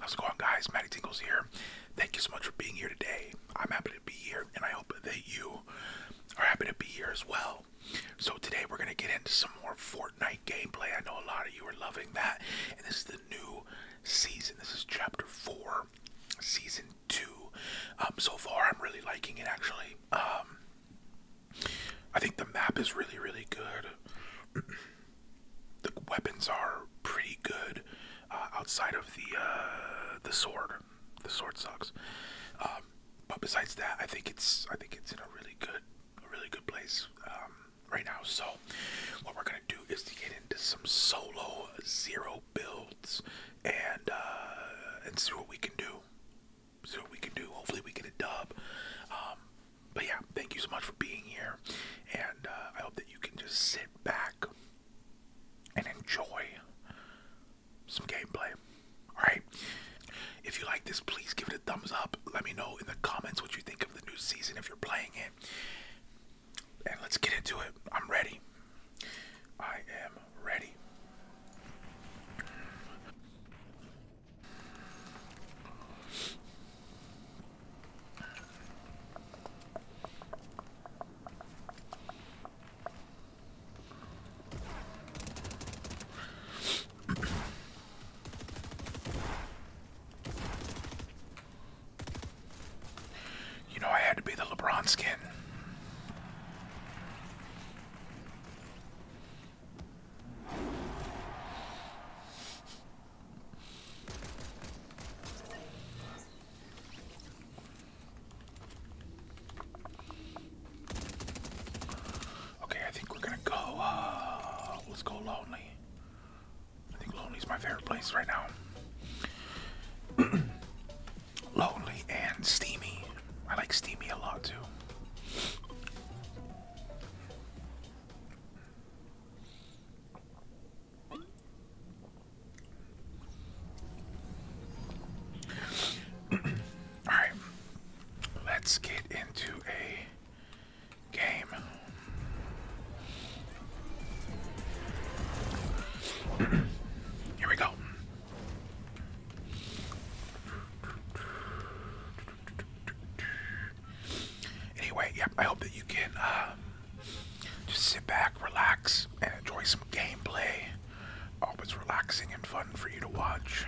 How's it going, guys? Matty Tingles here. Thank you so much for being here today. I'm happy to be here, and I hope that you are happy to be here as well. So today we're gonna get into some more Fortnite gameplay. I know a lot of you are loving that, and this is the new season. This is Chapter Four, Season Two. Um, so far, I'm really liking it. Actually, um, I think the map is really, really good. the weapons are pretty good, uh, outside of the uh, the sword. The sword sucks. Um, but besides that, I think it's I think it's in a really good, really good place um, right now. So what we're gonna do is to get into some solo zero builds and uh, and see what we can do. So what we can do. Hopefully, we get a dub. Um, but yeah, thank you so much for being here, and uh, I hope that you can just sit back and enjoy some gameplay. All right. If you like this, please give it a thumbs up. Let me know in the comments what you think of the new season if you're playing it. And let's get into it. I'm ready. I am ready. You know, I had to be the LeBron skin. Okay, I think we're gonna go. Uh, let's go lonely. I think lonely's my favorite place right now. lonely and steamy. I like steamy a lot too. All right, let's get into a game. Here we go. Anyway, yep, I hope that you can um, just sit back, relax, and enjoy some gameplay. Always relaxing and fun for you to watch.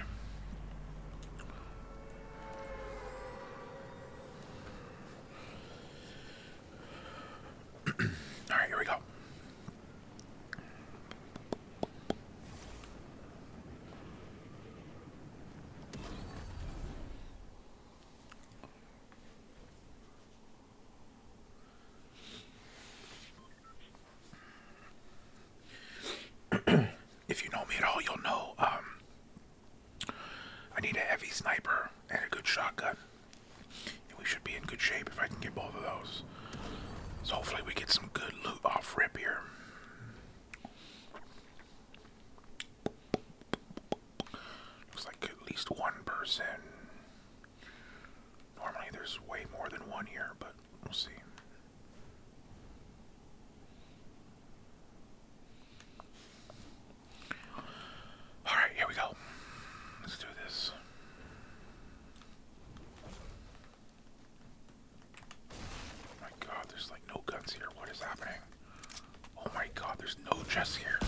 All right, here we go. if you know me at all, you'll know um, I need a heavy sniper and a good shotgun. And we should be in good shape if I can get both of those. So hopefully we get some good loot off rip here. Looks like at least one person. Normally there's way more than one here, but we'll see. Alright, here we go. Let's do this. Oh my god, there's like no guns here. What is happening? Oh my god, there's no chests here.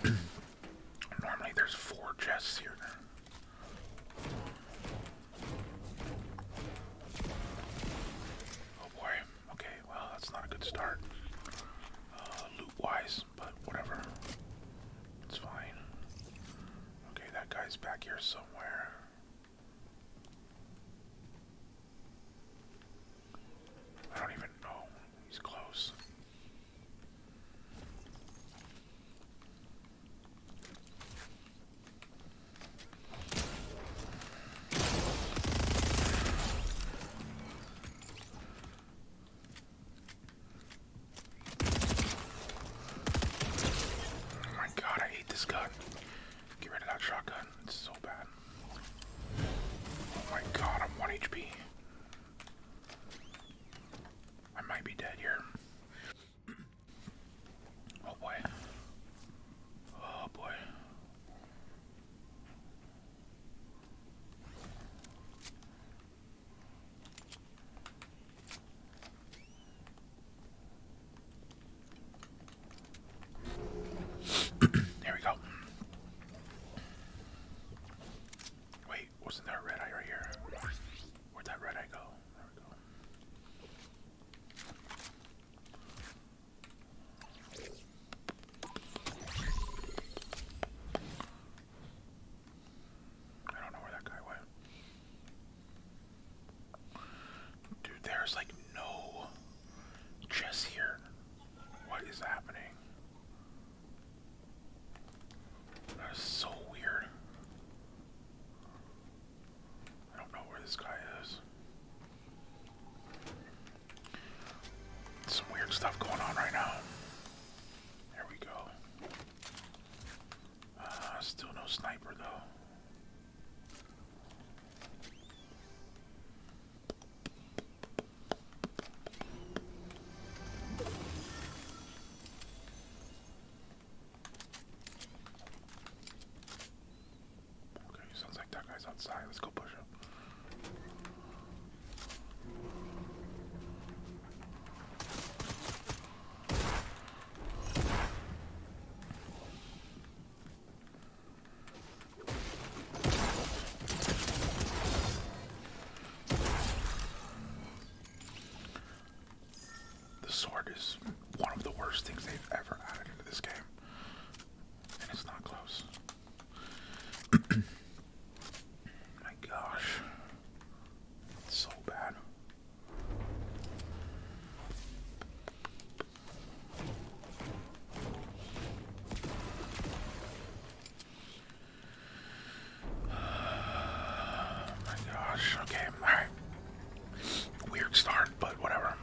Normally there's four chests here. Oh boy. Okay, well that's not a good start. Uh, loot wise, but whatever. It's fine. Okay, that guy's back here somewhere. I don't even know. He's close. Oh my god, I hate this gun. Get rid of that shotgun. It's so bad. Oh my god, I'm 1 HP. I might be dead here. Oh boy. Oh boy there we go. Wait, wasn't there red eye right here? Where'd that red eye go? There we go. I don't know where that guy went. Dude, there's like no chess here. What is happening? That is so weird. I don't know where this guy is. Some weird stuff going on right now. There we go. Uh, still no sniper though. Okay, sounds like that guy's outside. Let's go push him. The sword is one of the worst things they've ever added into this game, and it's not close. My gosh, it's so bad. Oh my gosh, okay, alright. Weird start, but whatever.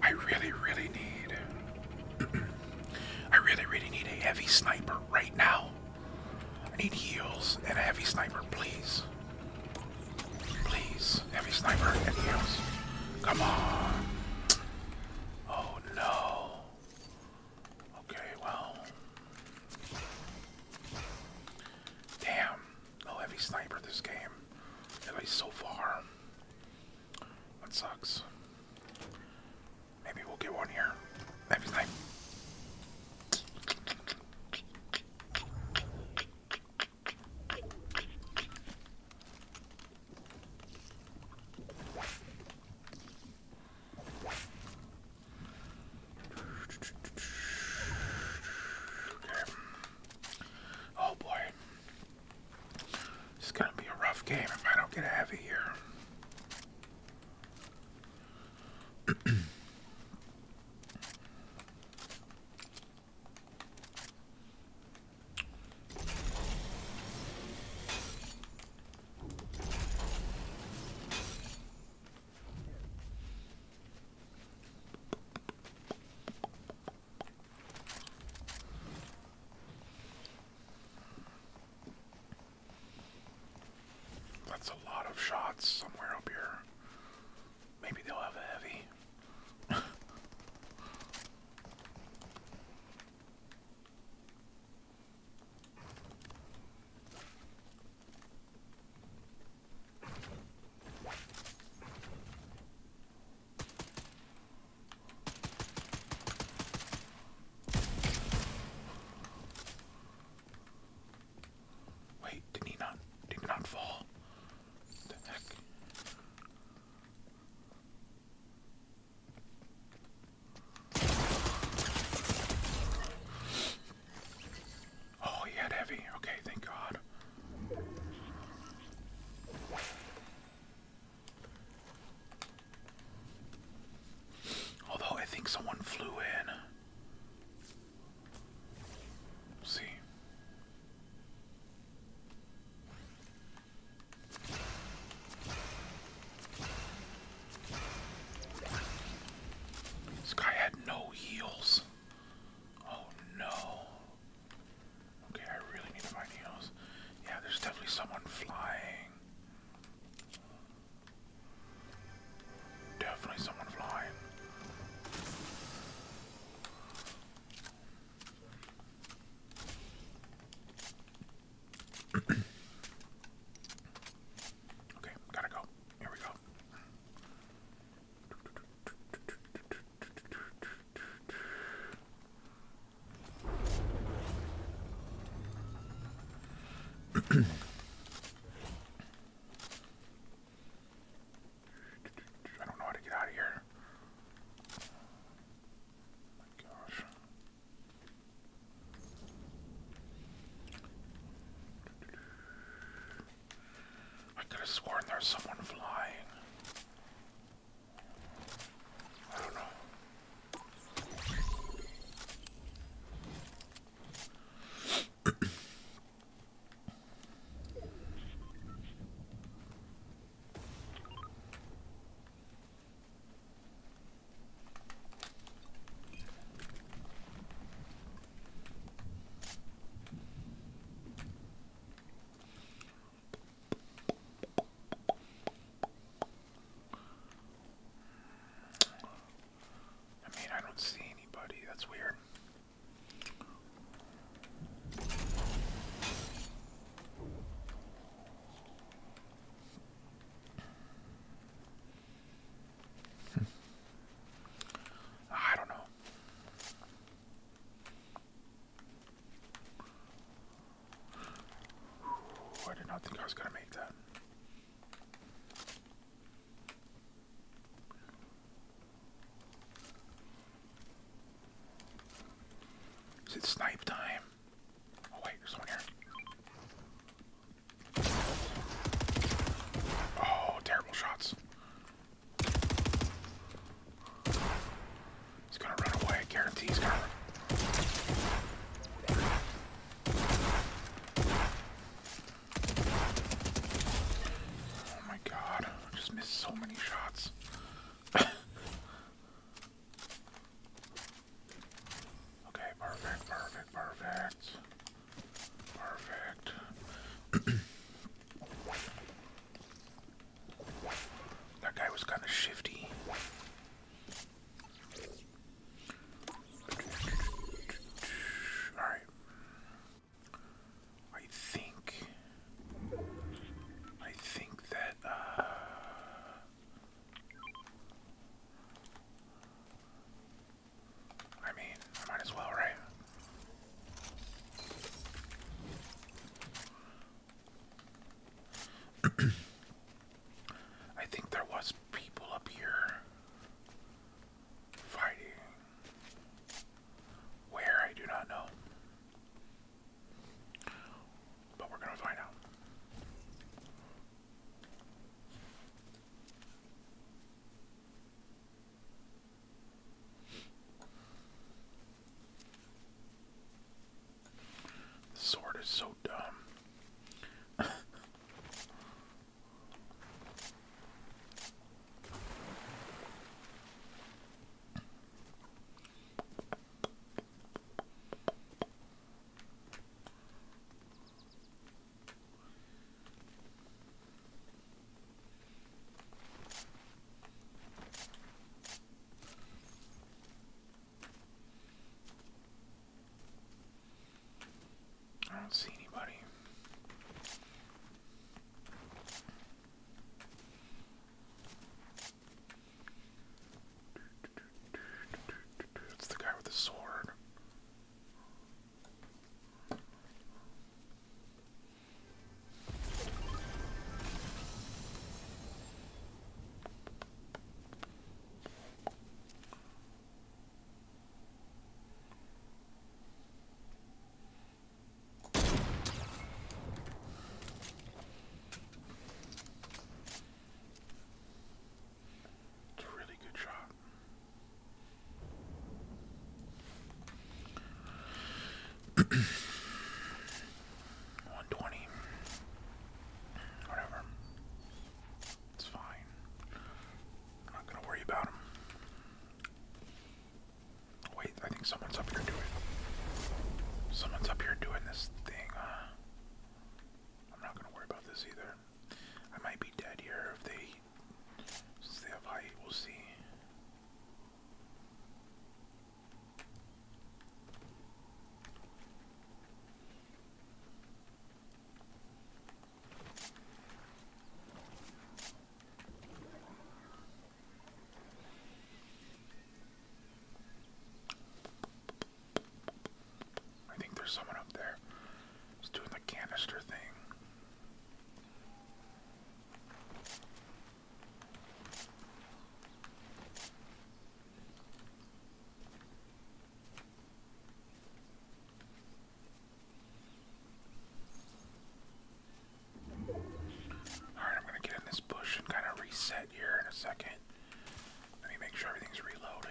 I really, really need. I really, really need a heavy sniper right now. I need heals and a heavy sniper, please. Please. Heavy sniper and heals. Come on. Oh no. Okay, well. Damn. No heavy sniper this game. At least so far. That sucks. Maybe we'll get one here. Heavy sniper. Oh boy. It's gonna be a rough game if I don't get heavy here. That's a lot of shots somewhere up here. Maybe they'll have a heavy. Wait, did he not did he not fall? the heck? Oh, he had heavy. Okay, thank God. Although I think someone flew in. see. This guy had no heals. Oh no. Okay, I really need to find heals. Yeah, there's definitely someone flying. Definitely someone flying okay, gotta go. Here we go. I don't know how to get out of here my gosh. I could have sworn there's someone flying. I don't know. I mean, I don't see anybody. That's weird. I don't know. I did not think I was going to make that. Is it snipe time? Oh wait, there's someone here. Oh, terrible shots. He's gonna run away, I guarantee he's gonna Oh my god, I just missed so many shots. Okay, perfect, perfect, perfect. Perfect. that guy was kind of shifty. Alright. I think I think that uh I mean, I might as well, right? I think there was people up here fighting where I do not know. But we're going to find out. sword is so dumb. I don't see anybody. It's the guy with the sword. It's really good shot. One twenty, whatever. It's fine. I'm not gonna worry about him. Way I think someone's up here doing. Someone's up here doing this thing. Uh, I'm not gonna worry about this either. I might be dead here if they since they have We'll see. I think there's someone up there. It's doing the canister thing. All right, I'm going to get in this bush and kind of reset here in a second. Let me make sure everything's reloaded.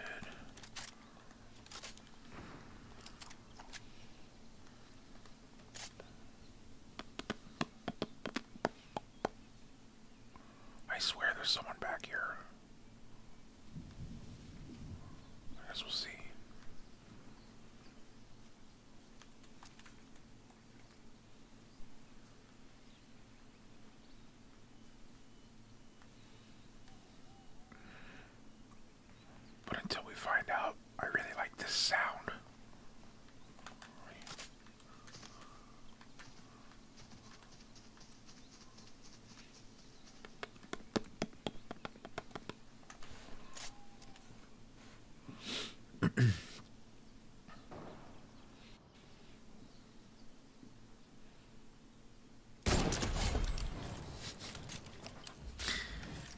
I swear there's someone back here. I guess we'll see. But until we find out, I really like this sound.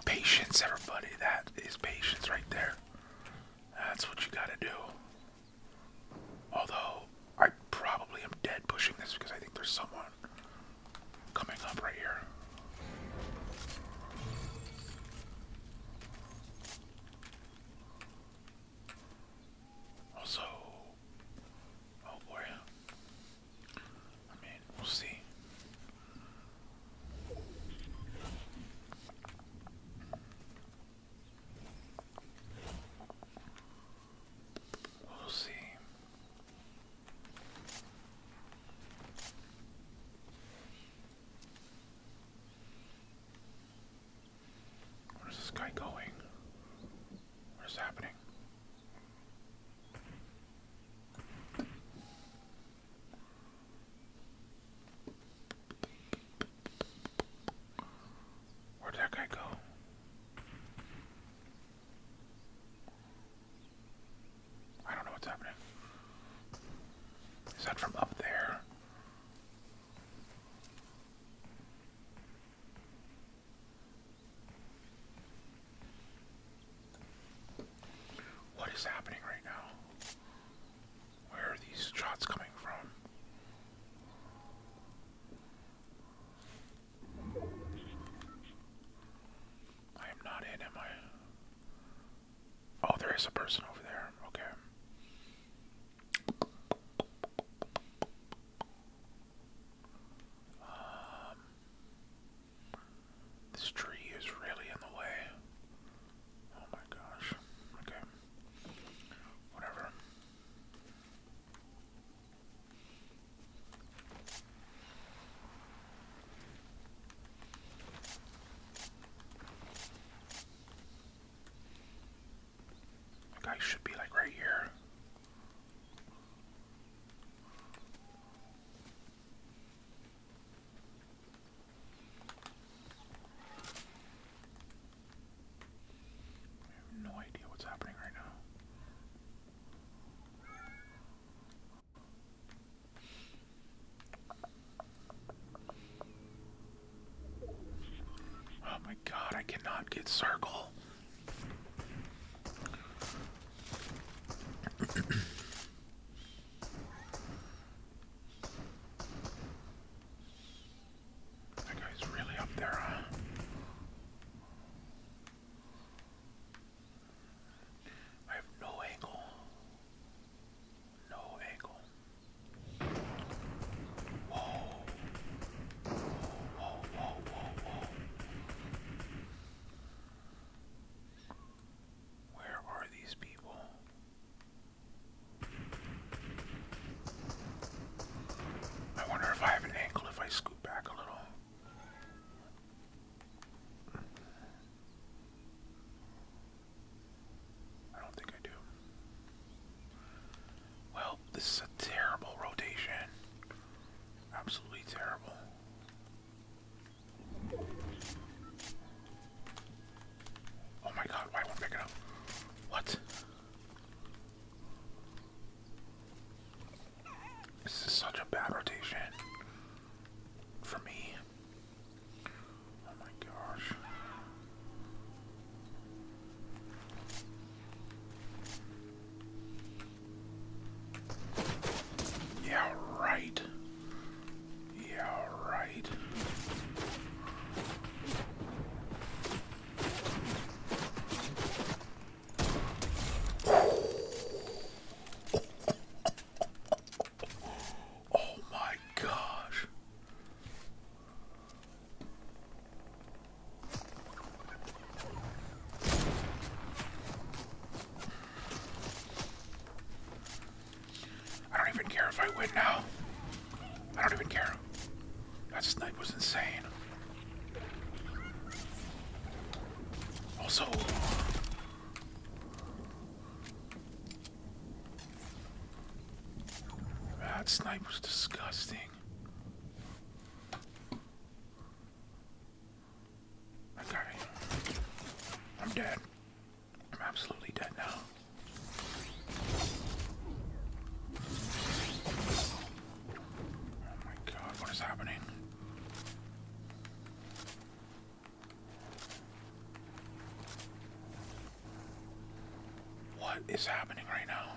Patience, everybody. That is patience right there. That's what you gotta do. Although, I probably am dead pushing this because I think there's someone coming up right here. Also, oh boy, I mean, we'll see. We'll see. Where's this guy going? What is happening? Where'd that guy go? I don't know what's happening. Is that from up there? What is happening right now? Where are these shots coming from? I am not in, am I? Oh, there is a person over there. Okay. Um, this tree is really in the way. Oh my gosh. Okay. Whatever. The guy should be like right here. no idea what's happening right now. Oh my god, I cannot get circle. that guy's really up there, I have no angle. No angle. Whoa. Whoa, whoa, whoa, whoa, Where are these people? I wonder if I have an angle if I scoot back a little. I don't think I do. Well, this is a terrible rotation. Absolutely terrible. Oh my god, why won't I pick it up? What? This is such a bad rotation for me. Oh my gosh. Yeah, right. Yeah, right. Oh my gosh. I don't even care if I win now. I don't even care. That snipe was insane. Also, that snipe was disgusting. Okay. I'm dead. I'm absolutely dead now. Oh my god, what is happening? What is happening right now?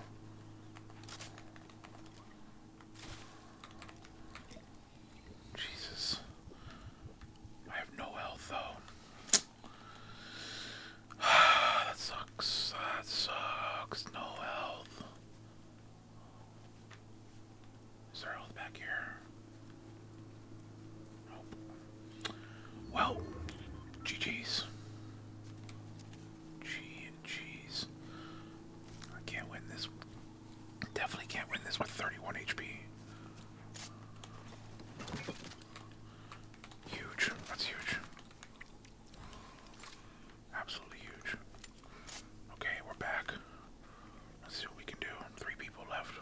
Jesus. I have no health though. that sucks. That sucks. No health. Is there health back here? Well, GG's. Gee and I can't win this. Definitely can't win this with 31 HP. Huge. That's huge. Absolutely huge. Okay, we're back. Let's see what we can do. Three people left.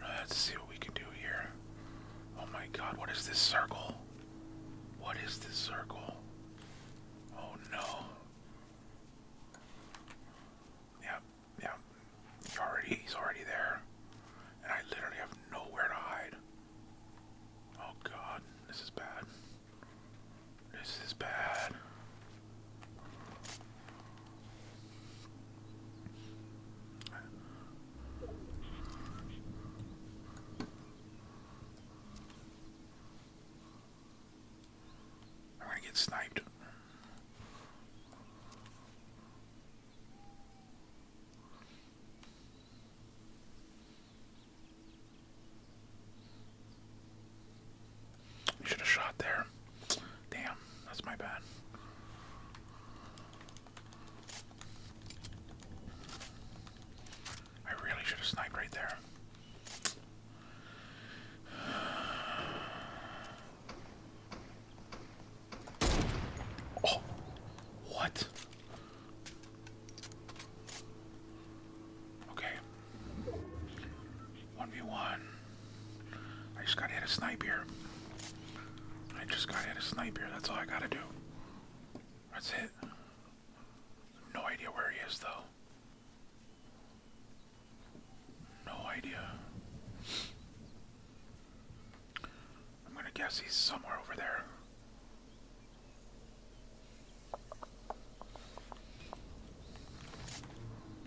Let's see what we can do here. Oh my god, what is this circle? What is this circle? Oh no. Yeah, yeah. He already he's already there. And I literally have nowhere to hide. Oh god, this is bad. This is bad. i get sniped should have shot there. Damn, that's my bad. I really should have sniped right there. Oh, what? Okay, 1v1. I just gotta hit a sniper. I just gotta hit a sniper. That's all I gotta do. That's it. No idea where he is, though. No idea. I'm gonna guess he's somewhere over there.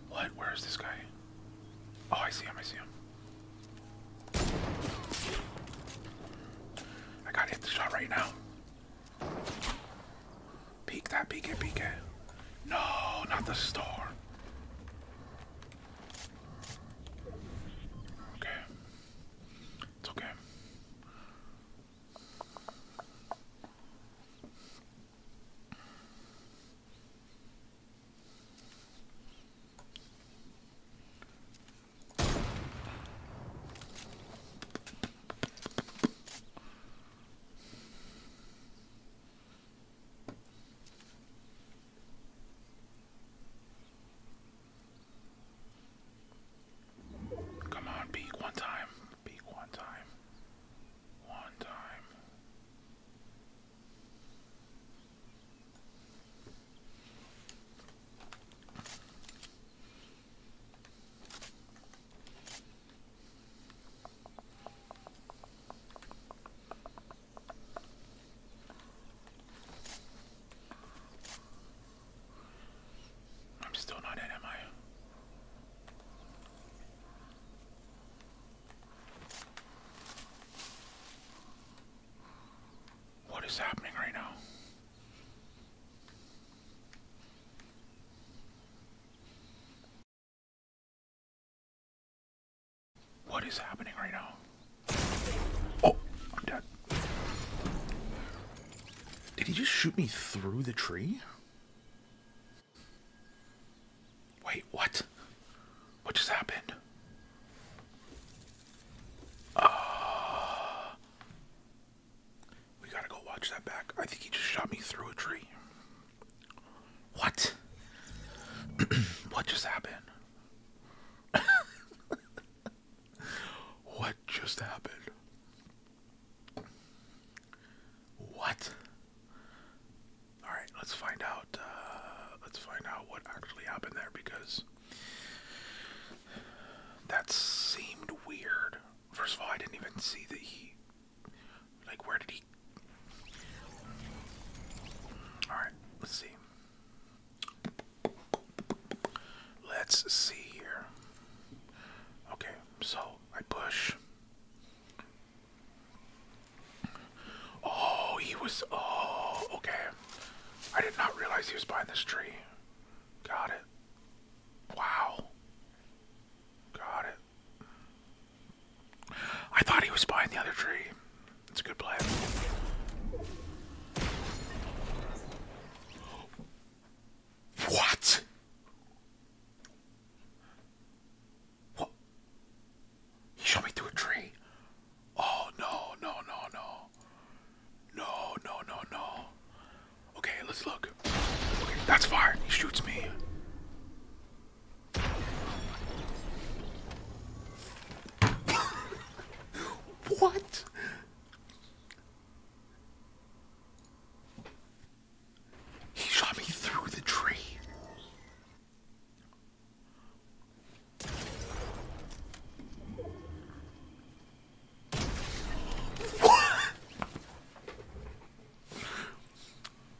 What? Where is this guy? Oh, I see him. I see him. I gotta hit the shot right now. Peek that, peek it, peek it. No, not the store. Okay. It's okay. Come on, peek one time. Peek one time one time. I'm still not in, am I? What is happening right now? What is happening right now? Oh, I'm dead. Did he just shoot me through the tree? Wait, what? What just happened? Uh, we gotta go watch that back. I think he just shot me through a tree. What? what just happened? what just happened? What? All right, let's find out. Uh, let's find out what actually happened there because that seemed weird. First of all, I didn't even see that he. Like, where did he? All right, let's see. Let's see here. Okay, so I push. Oh, he was. Oh, okay. I did not realize he was behind this tree. Got it. Wow. Got it. I thought he was behind the other tree. It's a good play. What? What? He shot me through a tree. Oh no, no, no, no. No, no, no, no. Okay, let's look. that's fire. He shoots me. what? He shot me through the tree.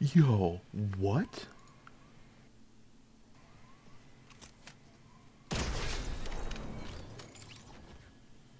Yo, what?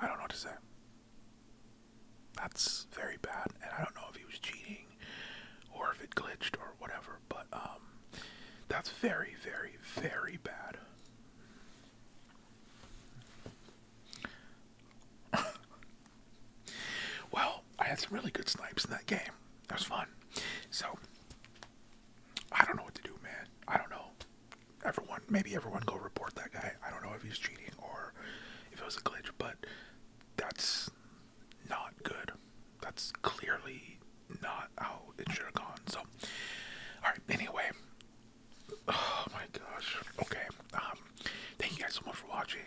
I don't know what to say. That's very bad, and I don't know if he was cheating or if it glitched or whatever. But um, that's very, very, very bad. well, I had some really good snipes in that game. That was fun. So, I don't know what to do, man. I don't know. Everyone, maybe everyone go report that guy. I don't know if he's cheating or if it was a glitch, but that's not good. That's clearly not how it should have gone. So, alright, anyway. Oh my gosh. Okay. Um, thank you guys so much for watching.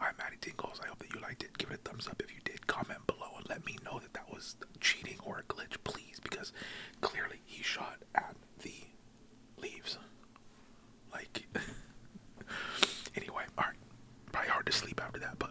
I'm Maddie Tingles. I hope that you liked it. Give it a thumbs up if you did. Comment below and let me know that that was cheating or a glitch, please, because clearly he shot at the leaves. Like, anyway, alright. Probably hard to sleep after that, but